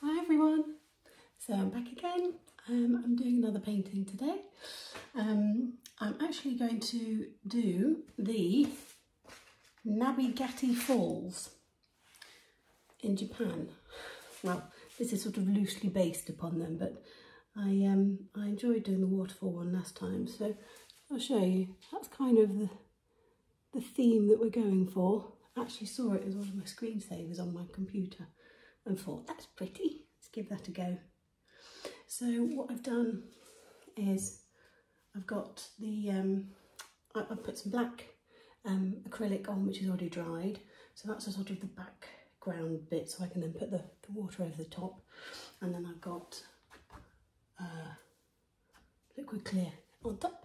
Hi everyone, so I'm back again. Um, I'm doing another painting today. Um, I'm actually going to do the Nabi Nabigati Falls in Japan. Well, this is sort of loosely based upon them, but um, I enjoyed doing the waterfall one last time, so I'll show you. That's kind of the, the theme that we're going for. actually saw it as one of my screensavers on my computer and thought, that's pretty, let's give that a go. So what I've done is I've got the, um, I, have put some black um, acrylic on which is already dried. So that's a sort of the background bit so I can then put the, water over the top. And then I've got uh, liquid clear on top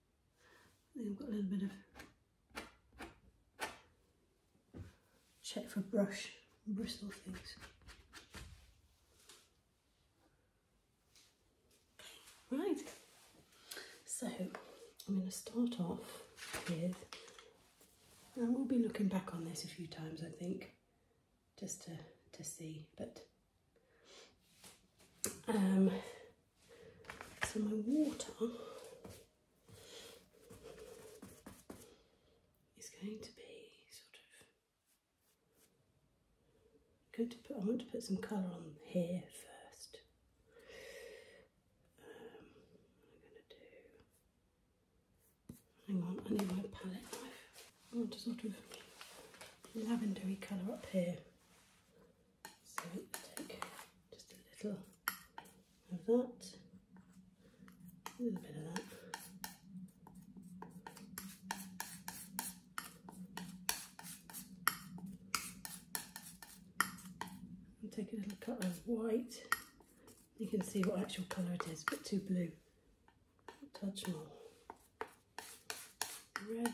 I have got a little bit of check for brush bristle things. right. So I'm going to start off here, and we'll be looking back on this a few times, I think, just to to see, but um, so my water is going to be sort of. i going to put. I want to put some colour on here first. Um, hang on, I need my palette knife. Oh, I want a sort of lavendery colour up here. So take just a little of that, a little bit of that. And take a little cut as white. You can see what actual colour it is, but too blue. touch more red.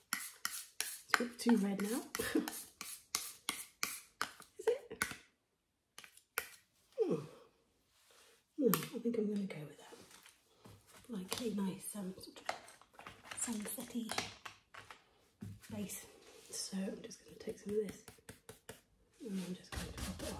It's a bit too red now. Is it? No, I think I'm going to go with that. Like a nice um, sort of sunset-y So I'm just going to take some of this and I'm just going to pop it on.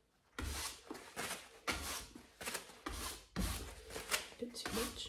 A bit too much.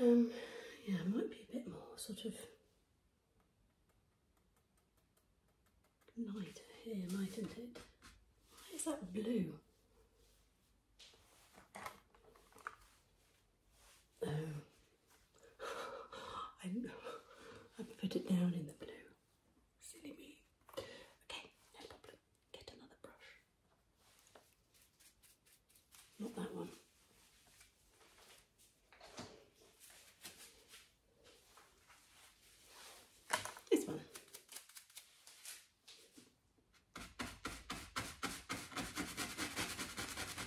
Um, yeah, might be a bit more sort of lighter here, mightn't it? Why is that blue? Oh. I put it down in the blue. Silly me. Okay, no problem. Get another brush. Not that one. This one.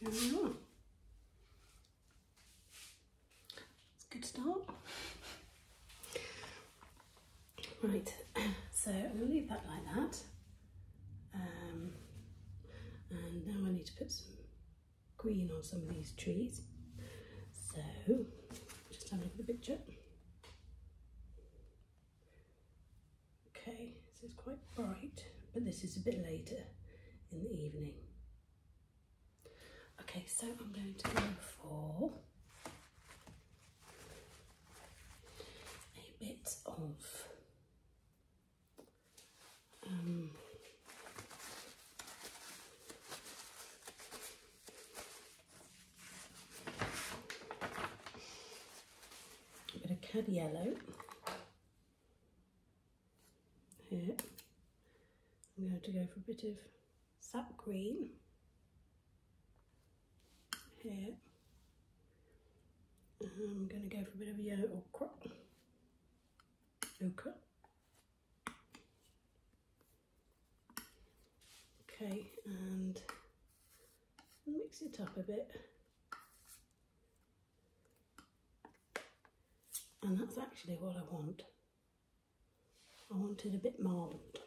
There we are. It's a good start. Right, so I'm going to leave that like that. Um, and now I need to put some green on some of these trees. So, just have a look at the picture. Okay, so it's quite bright, but this is a bit later in the evening. Okay, so I'm going to go for a bit of um, a bit of cad yellow here. I'm going to go for a bit of sap green here. I'm going to go for a bit of yellow ochre. Okay. Okay, and mix it up a bit. And that's actually what I want. I want it a bit marbled.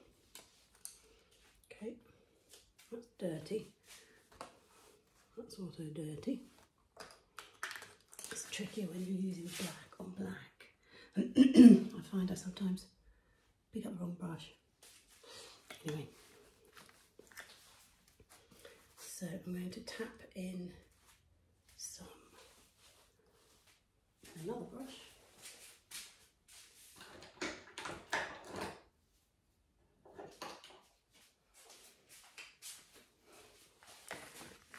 Okay, that's dirty. That's also dirty. It's tricky when you're using black on black. I find I sometimes pick up the wrong brush. Anyway, so I'm going to tap in some another brush.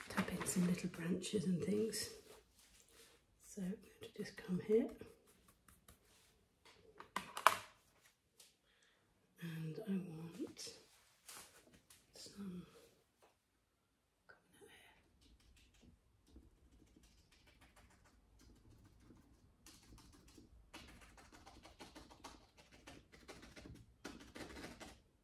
Tap in some little branches and things. So I'm going to just come here and I want some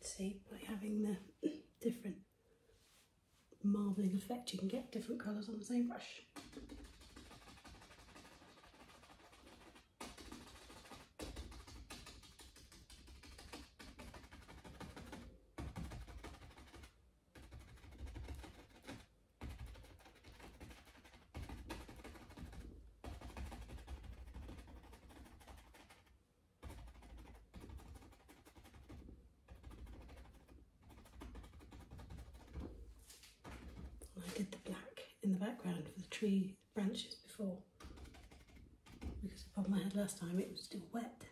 See, by having the different marbling effect, you can get different colours on the same brush. I did the black in the background for the tree branches before because upon my head last time it was still wet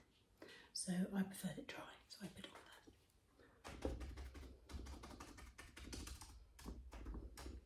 so I preferred it dry so I put on that.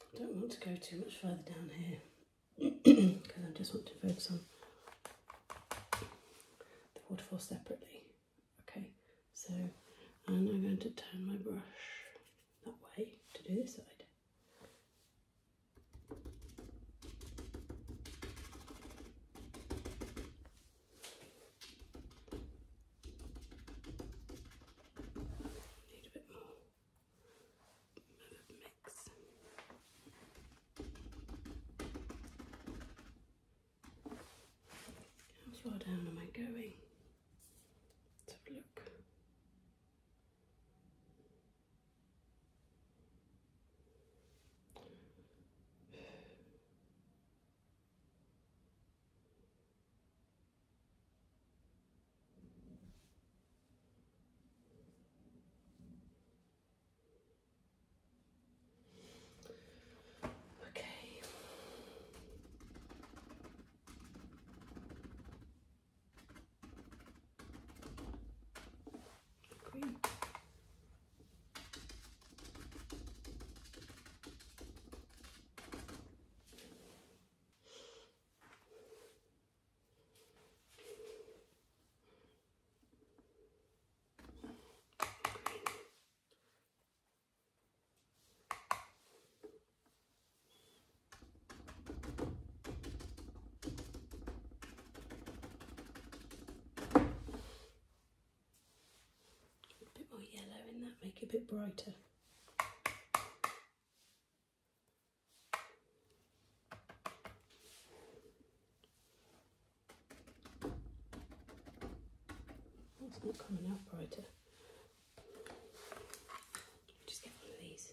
I don't want to go too much further down here because I just want to focus on the waterfall separately. Okay, so and I'm going to turn my brush that way to do this side. Need a bit more mix. How far down am I going? Let's have a look. Okay. Green. A bit more yellow in that, make it a bit brighter. It's not coming out brighter. Just get one of these.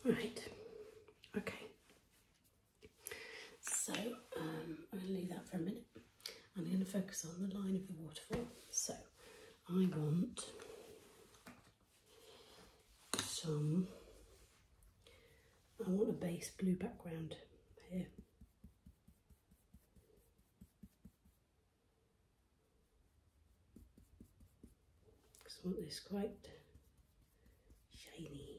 Okay. Right. Okay. So um, I'm going to leave that for a minute. I'm going to focus on the line of the waterfall. So I want some, I want a base blue background here. I want this quite shiny.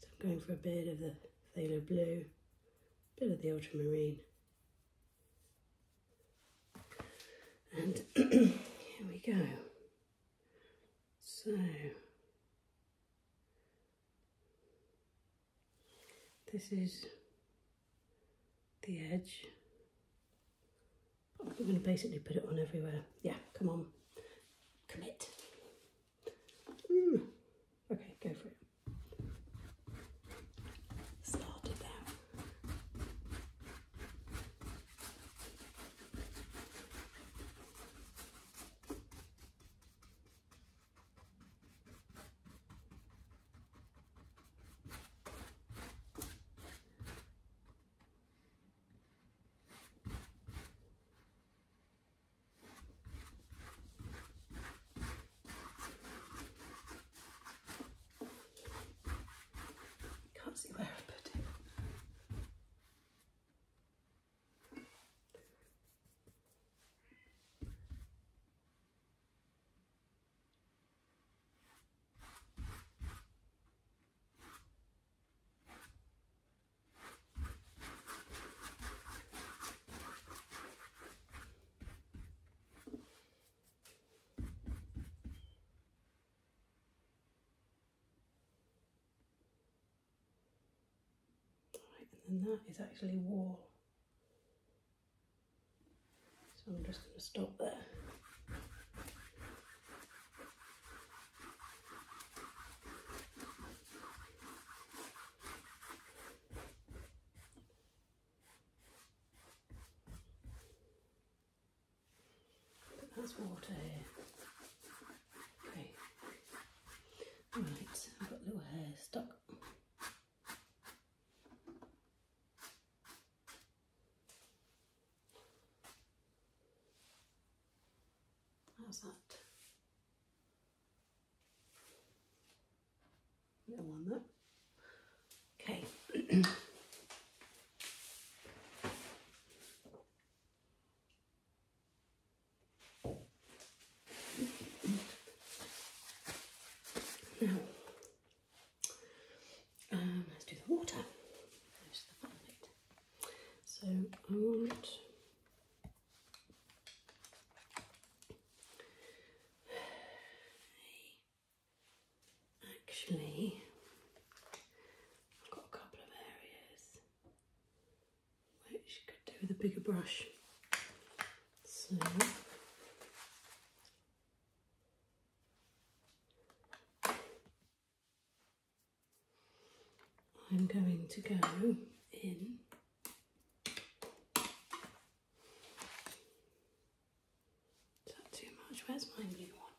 So I'm going for a bit of the phthalo blue bit of the ultramarine. And here we go. So, this is the edge. I'm going to basically put it on everywhere. Yeah, come on, commit. Hmm. Okay, go for it. Started there. Can't see where I put it and that is actually wall. So I'm just going to stop there. There's water here. Okay. Right, I've got little hair stuck. How's that? You don't want that. Okay. now, um, let's do the water. so I want Actually, I've got a couple of areas which could do with a bigger brush. So I'm going to go in is that too much? Where's my new one?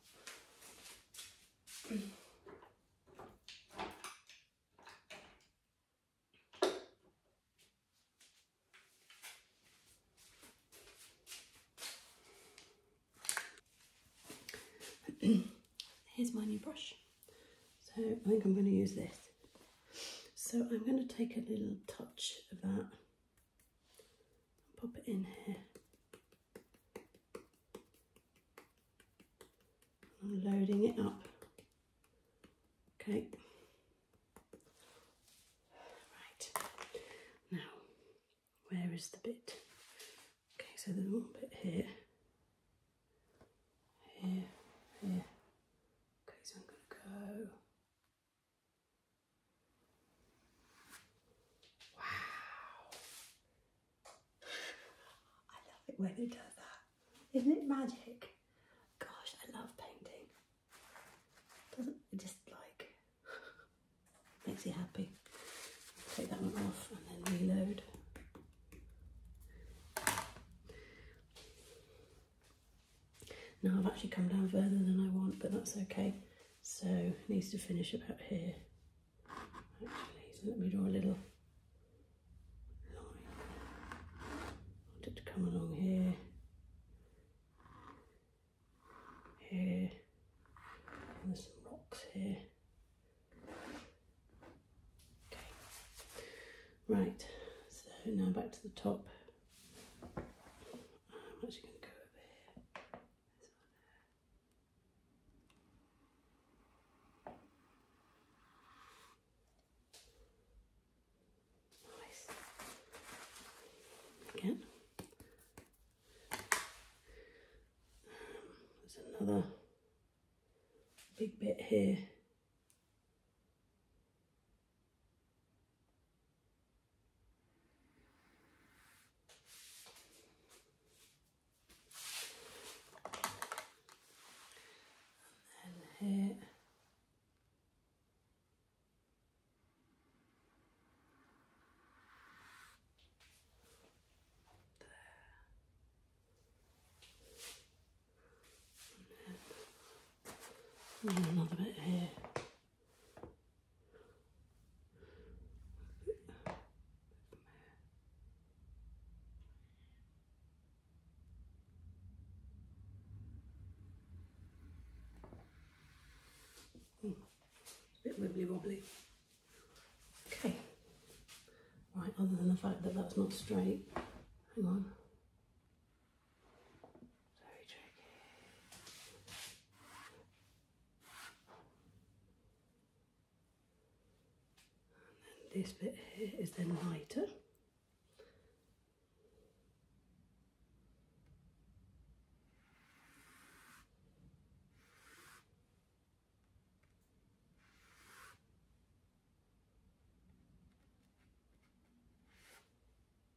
Here's my new brush. So I think I'm going to use this. So I'm going to take a little touch of that and pop it in here. I'm loading it up. Okay. Right. Now, where is the bit? Okay, so there's little bit here. Here, here. Okay, so I'm going to go Wow. I love it when it does that. Isn't it magic? Gosh, I love painting. Doesn't it just like makes you happy. Take that one off and then reload. Now I've actually come down further than I want, but that's okay. So needs to finish about here. Actually, let me draw a little Wanted to come along here. Here. there's some rocks here. Okay. Right, so now back to the top. I'm actually going to go over here. there. Nice. Again. there's another big bit here. And here. There. And then another bit here. It's a bit wibbly wobbly. Okay. Right, other than the fact that that's not straight, hang on this bit here is then lighter.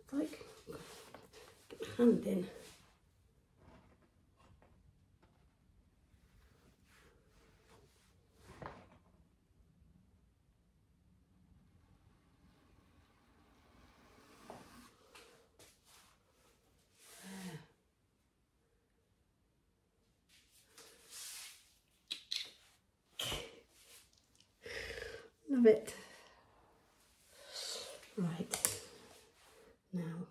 It's like, get my hand in. Love it. Right, now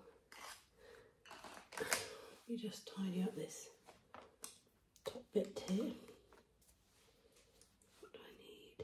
you just tidy up this top bit here. What do I need?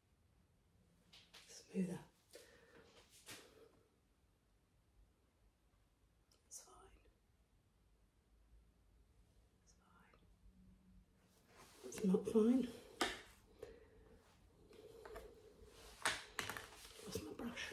smoother. It's fine. It's not fine. Lost my brush.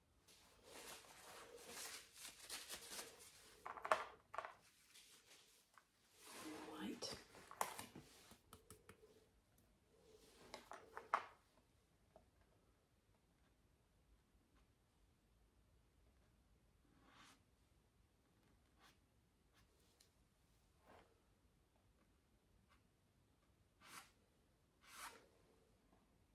White.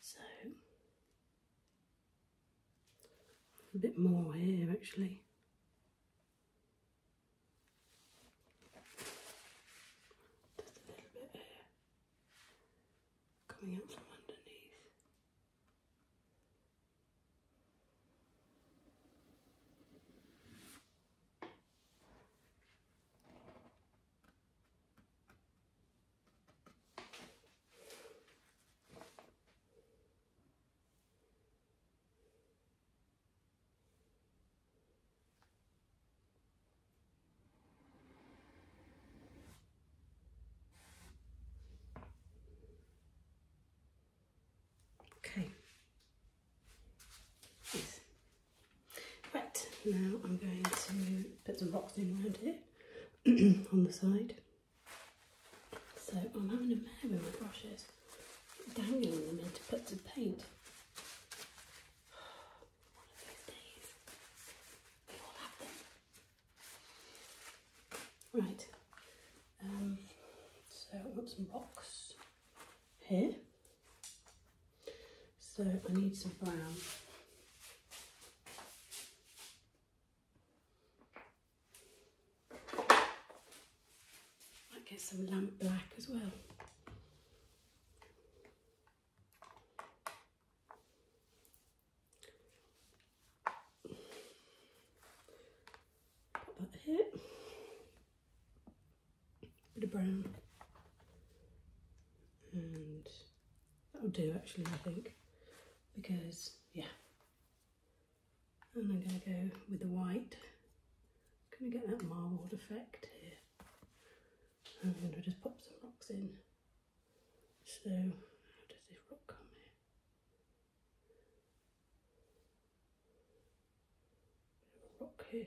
So a bit more here actually. Just a little bit here coming out from underneath. Okay. Yes. Right, now I'm going to put some rocks in around here on the side. So I'm having a mare with my brushes, dangling them in to put some paint. Right, um, so I want some rocks here. So I need some brown. Might get some lamp black as well. Put that here. Bit of brown and That'll do actually, I think, because yeah. And I'm going to go with the white. going to get that marbled effect here. And I'm going to just pop some rocks in. So, how does this rock come here? rock here.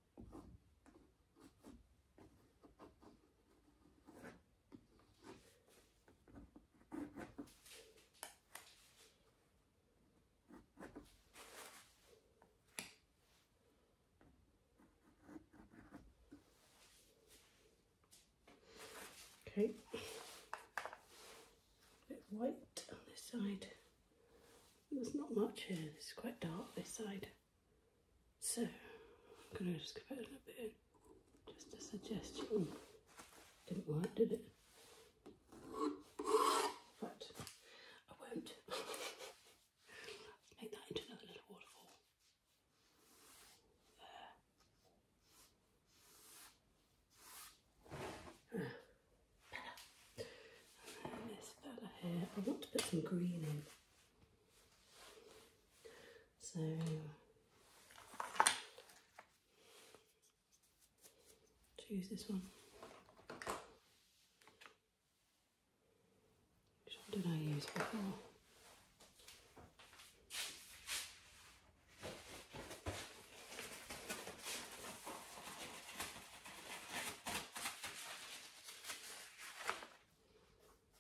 Okay, bit white on this side. There's not much here, it's quite dark this side. So I'm gonna just go a little bit Just a suggestion. Didn't work, did it? But I won't. Make that into another little waterfall. There. this fella here. I want to put some green in. So choose this one. Which one did I use before?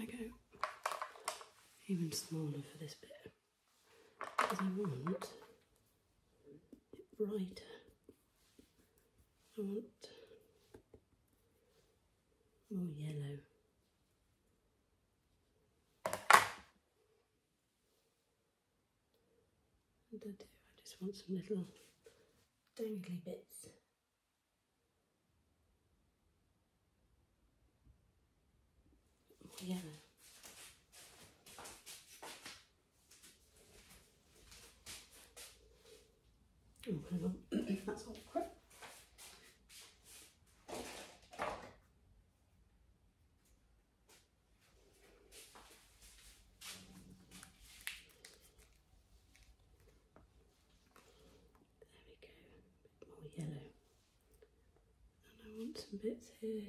i go even smaller for this bit because I want it brighter. I want more yellow. I just want some little dangly bits. More Oh, hang on, that's awkward. There we go, a bit more yellow. And I want some bits here.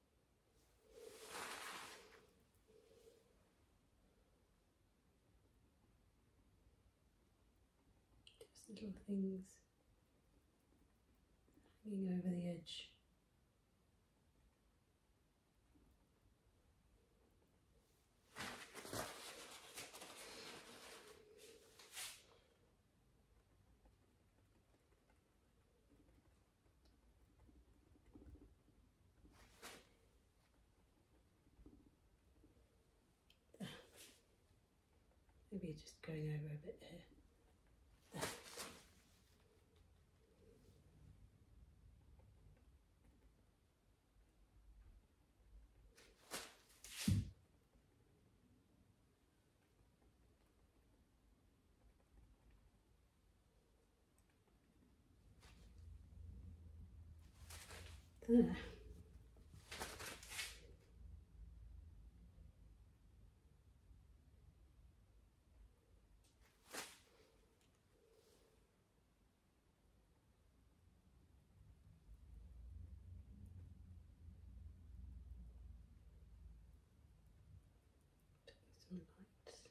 Just little things hanging over the edge. Maybe you're just going over a bit here. Ugh. Some lights.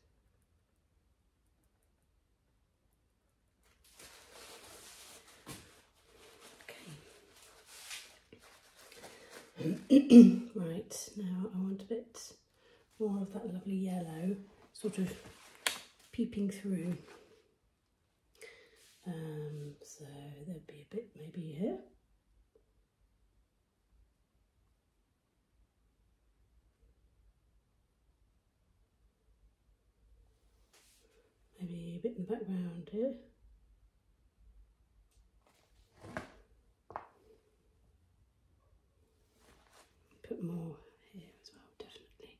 right, now I want a bit more of that lovely yellow sort of peeping through. Um, so there'd be a bit maybe here. Maybe a bit in the background here. Put more here as well, definitely.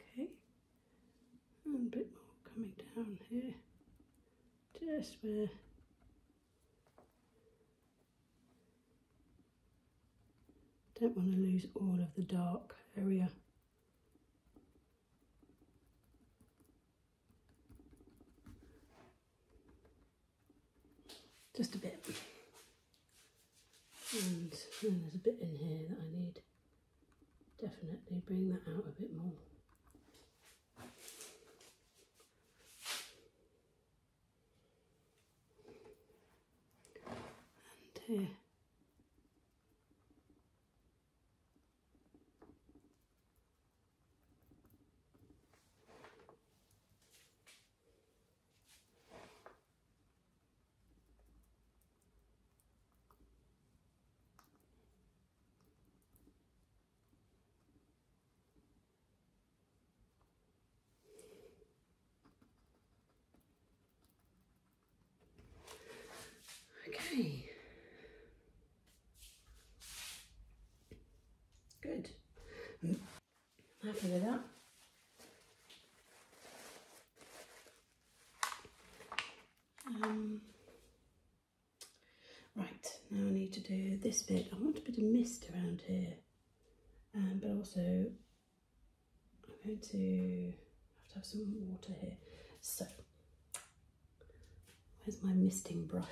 Okay, and oh, a bit more coming down here, just where don't want to lose all of the dark area. Just a bit and, then there's a bit in here that I need definitely bring that out a bit more. And here. Okay. Good. happy with that. Um, right, now I need to do this bit. I want a bit of mist around here, um, but also I'm going to have to have some water here. So, where's my misting brush?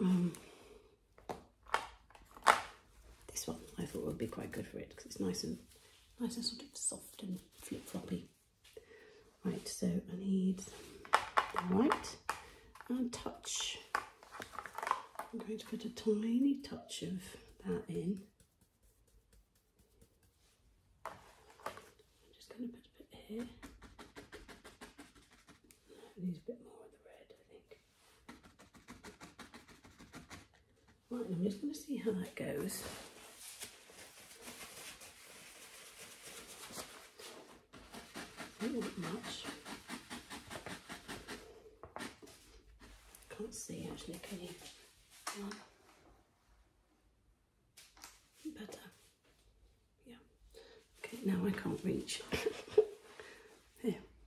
Um, this one I thought would be quite good for it because it's nice and nice and sort of soft and flip-floppy. Right, so I need the white and touch. I'm going to put a tiny touch of that in. I'm just going to put a bit here. I a bit more of the red, I think. I'm just going to see how that goes. Not much. Can't see actually, can you? better. Yeah. Okay, now I can't reach. there.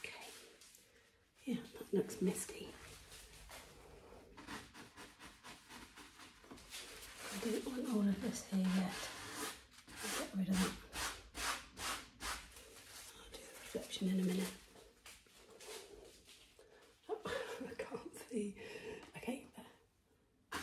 Okay. Yeah, that looks misty. I do not want all of this here yet. I'll get rid of that. I'll do a reflection in a minute. I can't see. Okay, there.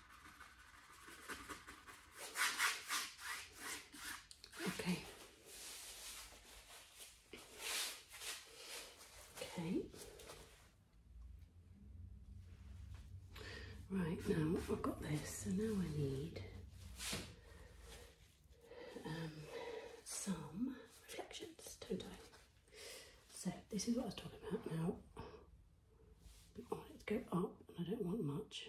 Okay. Okay. Right now I've got this, so now I need um, some reflections, don't I? So this is what I was talking about now. let's go up, and I don't want much.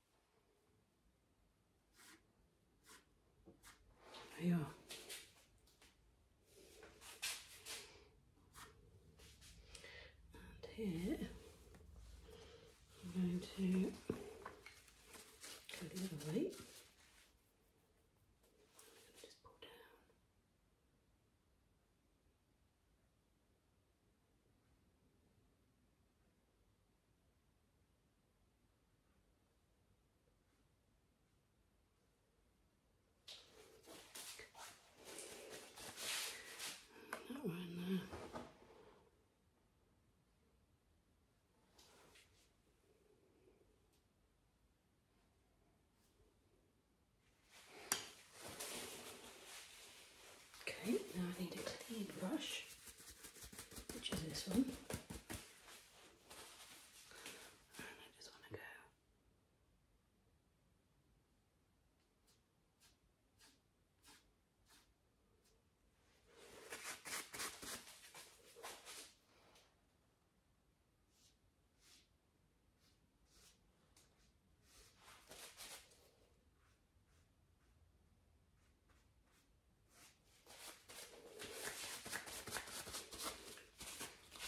Ja. And here I'm going to go the other Just pull down. That one there. Okay, now I need a clean brush which is this one. And I just want to go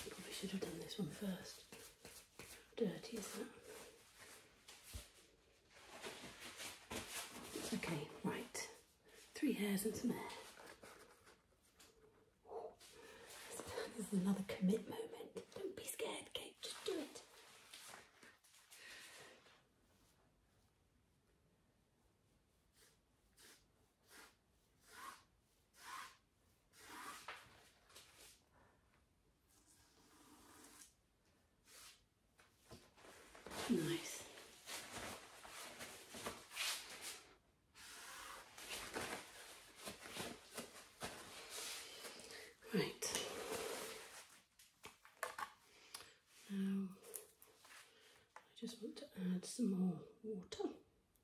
Probably should have done this one first. dirty is that? Okay, right. Three hairs and some hair. This is another commit moment. Don't be scared, Okay, Just do it. Nice. Right. I just want to add some more water,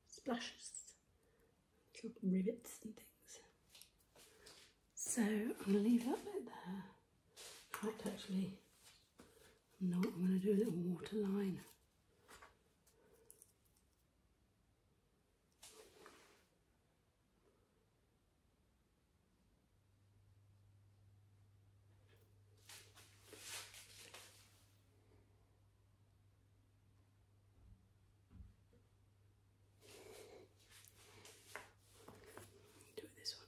splashes, little rivets and things. So I'm going to leave that bit there. In actually, no, I'm going to do a little water line. Do it this one.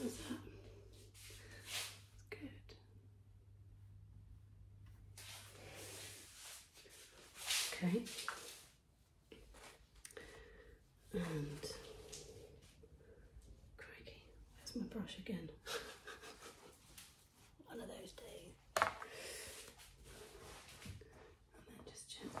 How's good. Okay. And crikey, where's my brush again? One of those days. And then just gently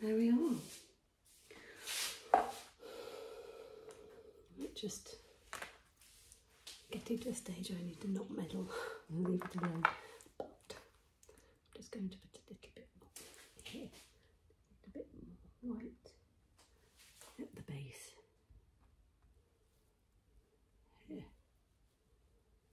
There we are. just getting into a stage where I need to not meddle leave it alone. But I'm just going to put a little bit more here, a bit white at the base. Here.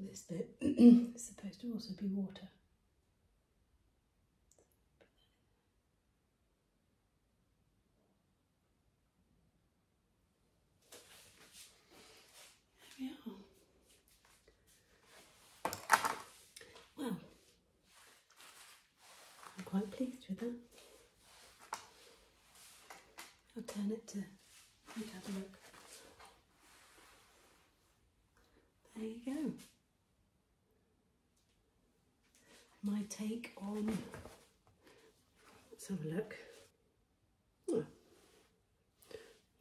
This bit is supposed to also be water. There we are. Well, I'm quite pleased with that. I'll turn it to you have a look. There you go. My take on let's have a look. Hmm.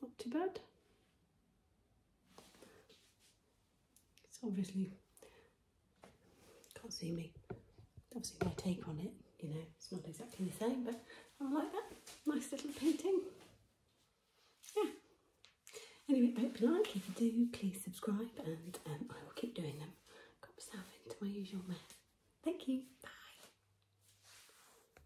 not too bad. It's obviously can't see me. Obviously my take on it, you know, it's not exactly the same, but I like that. Nice little painting. Yeah. Anyway, hope you like. If you do, please subscribe and um, I will keep doing them. Got myself into my usual mess. Thank you. Bye.